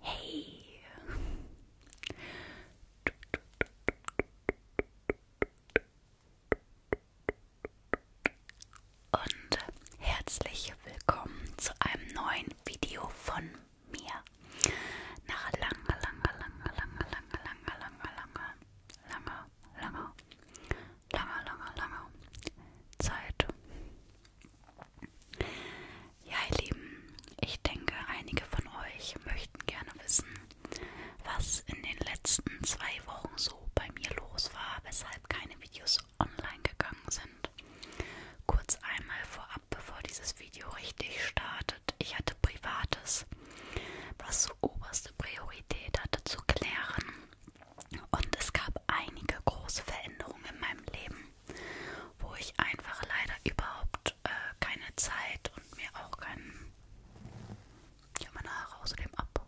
Hey. Und herzlich willkommen zu einem neuen Video von mir. Nach langer, langer, langer, langer, langer, langer, langer, langer, langer, langer, langer, langer, langer Zeit. Ja, ihr Lieben, ich denke, einige von euch möchten gerne wissen, was in den letzten zwei Wochen so bei mir los war, weshalb keine Videos online gegangen sind. Kurz einmal vorab, bevor dieses Video richtig startet. Ich hatte Privates, was so oberste Priorität hatte zu klären. Und es gab einige große Veränderungen in meinem Leben, wo ich einfach leider überhaupt äh, keine Zeit und mir auch keinen. Ich habe meine Haare außerdem ab.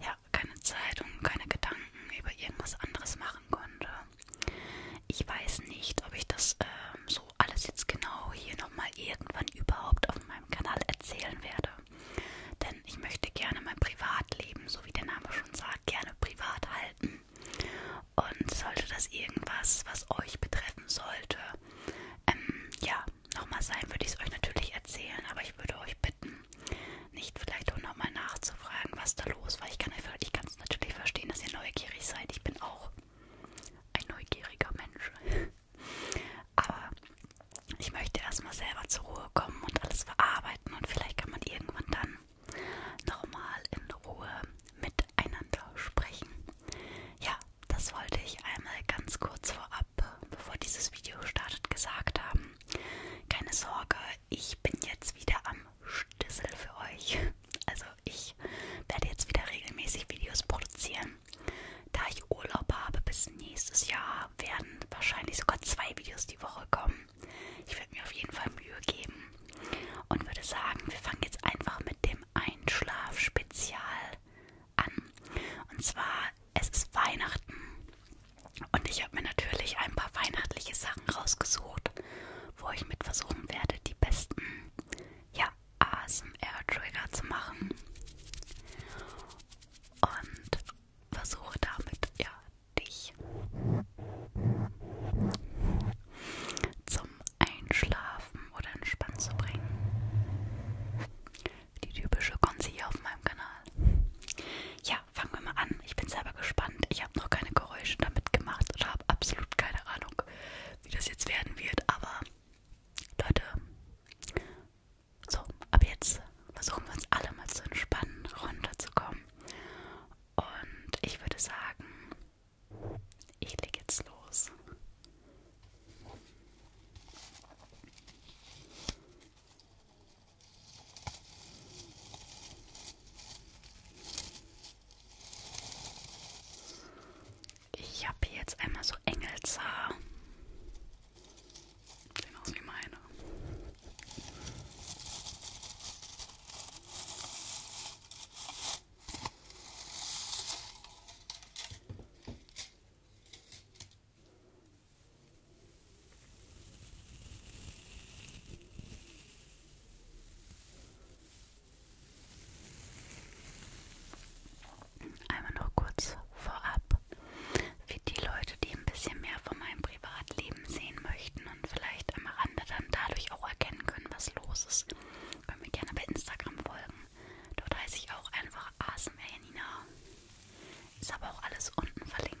Ja, keine Zeit und keine Gedanken über irgendwas anderes machen konnte. Ich weiß nicht, ob ich das ähm, so alles jetzt genau hier nochmal irgendwann überhaupt auf meinem Kanal erzählen werde. Denn ich möchte gerne mein Privatleben, so wie der Name schon sagt, gerne privat halten. Und sollte das irgendwas, was euch betreffen sollte, ähm, ja, nochmal sein, würde ich es euch natürlich erzählen. Aber ich würde euch bitten, nicht vielleicht auch nochmal nachzufragen, was da los war. Ich kann es natürlich verstehen, dass ihr neugierig seid. Ich bin auch ein neugieriger Mensch. Aber ich möchte erstmal selber zur Ruhe kommen und alles verarbeiten und vielleicht kann man irgendwann dann nochmal in Ruhe miteinander sprechen. Ja, das wollte ich einmal ganz kurz vorab, bevor dieses Video startet, gesagt haben. Keine Sorge, ich bin jetzt wieder am Stissel für euch. Also ich werde jetzt wieder regelmäßig Videos produzieren. Da ich Urlaub habe bis nächstes Jahr, werden wahrscheinlich sogar zwei Videos die Woche kommen. Ich werde mir auf jeden Fall Mühe geben und würde sagen, wir fangen jetzt einfach mit dem Einschlafspezial an. Und zwar, es ist Weihnachten und ich habe mir natürlich ein paar weihnachtliche Sachen rausgesucht, wo ich mit versuchen werde, die besten ja, ASMR-Trigger zu machen und versuche damit ja dich zum Einschlafen oder Entspannen zu bringen. Die typische Konzi hier auf meinem Kanal. Ja, fangen wir mal an. Ich bin selber gespannt. Ich habe noch keine Geräusche damit gemacht oder habe absolut keine Ahnung, wie das jetzt werden wird, aber Leute, so, ab jetzt versuchen wir uns alle mal zu entspannen, runterzukommen. Und ich würde sagen, ich leg jetzt los. Ich habe hier jetzt einmal so Engelshaar. Sehen aus wie meine. Einmal noch kurz vorab, für die Leute, die ein bisschen mehr von meinem Privatleben sehen möchten und vielleicht am Rande dann dadurch auch erkennen können, was los ist, können mir gerne bei Instagram folgen. Dort heiße ich auch einfach ASMR Janina. Ist aber auch alles unten verlinkt.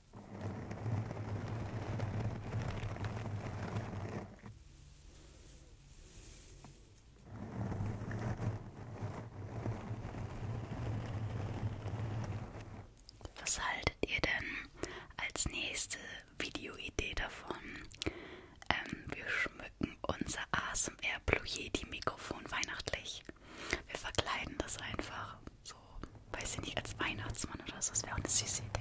Was haltet ihr denn als nächste Videoidee davon? Ähm, wir schmücken unser ASMR Blue Yeti Mikrofon weihnachtlich. Wir verkleiden das einfach so, weiß ich nicht, als Weihnachtsmann oder so. Das wäre auch eine süße Idee.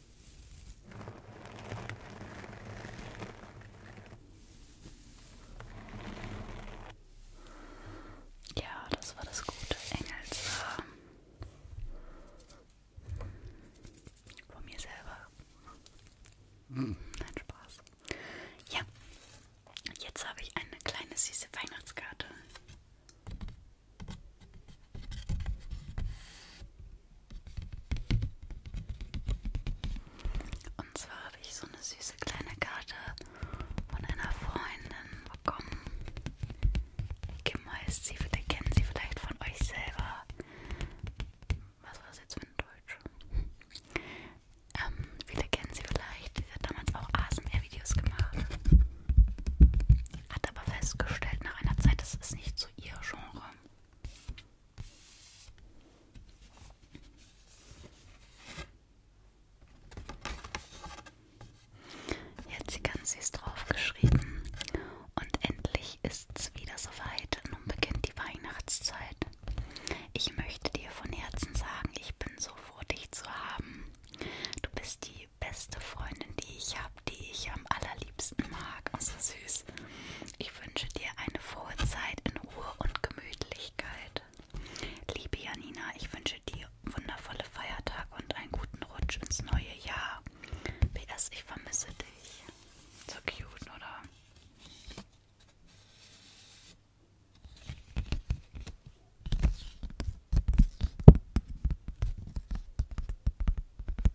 Ja, das war das gute Engelshaar. Von mir selber. Hm. Nein, Spaß. Ja, jetzt habe ich eine kleine süße Weihnachtskarte. Und zwar habe ich so eine süße kleine Karte von einer Freundin bekommen. Kim heißt sie, vielleicht kennen sie vielleicht von euch selber. Was war das jetzt für ein Deutsch? Ähm, viele kennen sie vielleicht. Sie hat damals auch ASMR-Videos gemacht. Hat aber festgestellt nach einer Zeit, das ist nicht so ihr Genre. Jetzt ganz süß draufgeschrieben. Und endlich ist's wieder soweit. Nun beginnt die Weihnachtszeit. Ich möchte dir von Herzen sagen, ich bin so froh, dich zu haben. Du bist die beste Freundin, die ich habe habe, die ich am allerliebsten mag. Also süß. Ich wünsche dir eine frohe Zeit in Ruhe und Gemütlichkeit. Liebe Janina, ich wünsche dir wundervolle Feiertage und einen guten Rutsch ins neue Jahr. PS, ich vermisse dich. So cute, oder?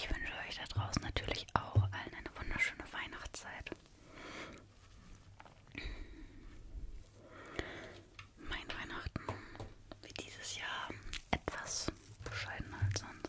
Ich wünsche euch da draußen natürlich auch allen eine wunderschöne Weihnachtszeit. Mein Weihnachten wird dieses Jahr etwas bescheidener als sonst.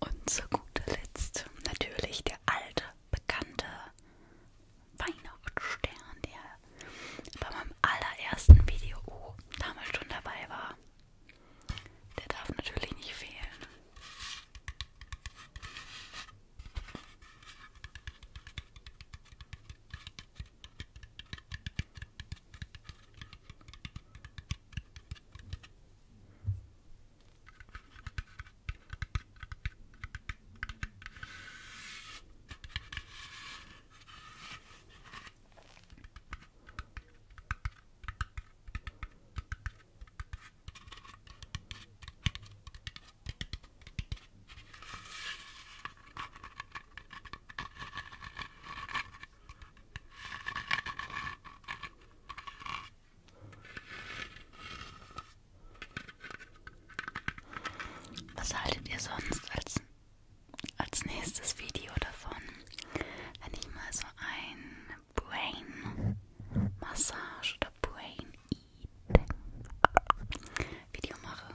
Und zu guter Letzt natürlich der alte, bekannte Weihnachtsstern, der bei meinem allerersten Video oh, damals schon dabei war. Der darf natürlich nicht fehlen. Was haltet ihr sonst als als nächstes Video davon, wenn ich mal so ein Brain Massage oder Brain Eating Video mache.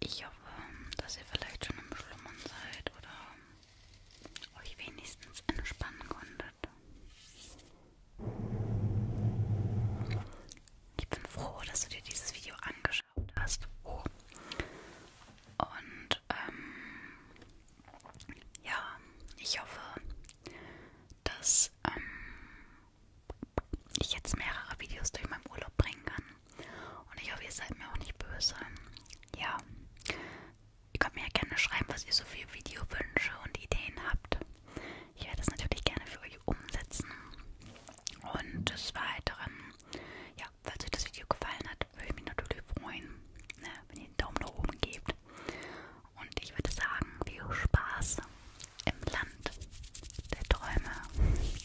Ich hoffe, dass ihr vielleicht schon im Schlummern seid oder euch wenigstens entspannen konntet. Ich bin froh, dass du dir dieses Video angeschaut hast. Oh. Und ähm, ja, ich hoffe, dass ähm, ich jetzt mehrere Videos durch meinen Urlaub bringen kann. Und ich hoffe, ihr seid mir auch nicht böse. Ja. Ihr könnt mir ja gerne schreiben, was ihr so für Videowünsche und Ideen habt. Ich werde das natürlich gerne für euch umsetzen. Und des Weiteren, ja, falls euch das Video gefallen hat, würde ich mich natürlich freuen, ne, wenn ihr einen Daumen nach oben gebt. Und ich würde sagen, viel Spaß im Land der Träume.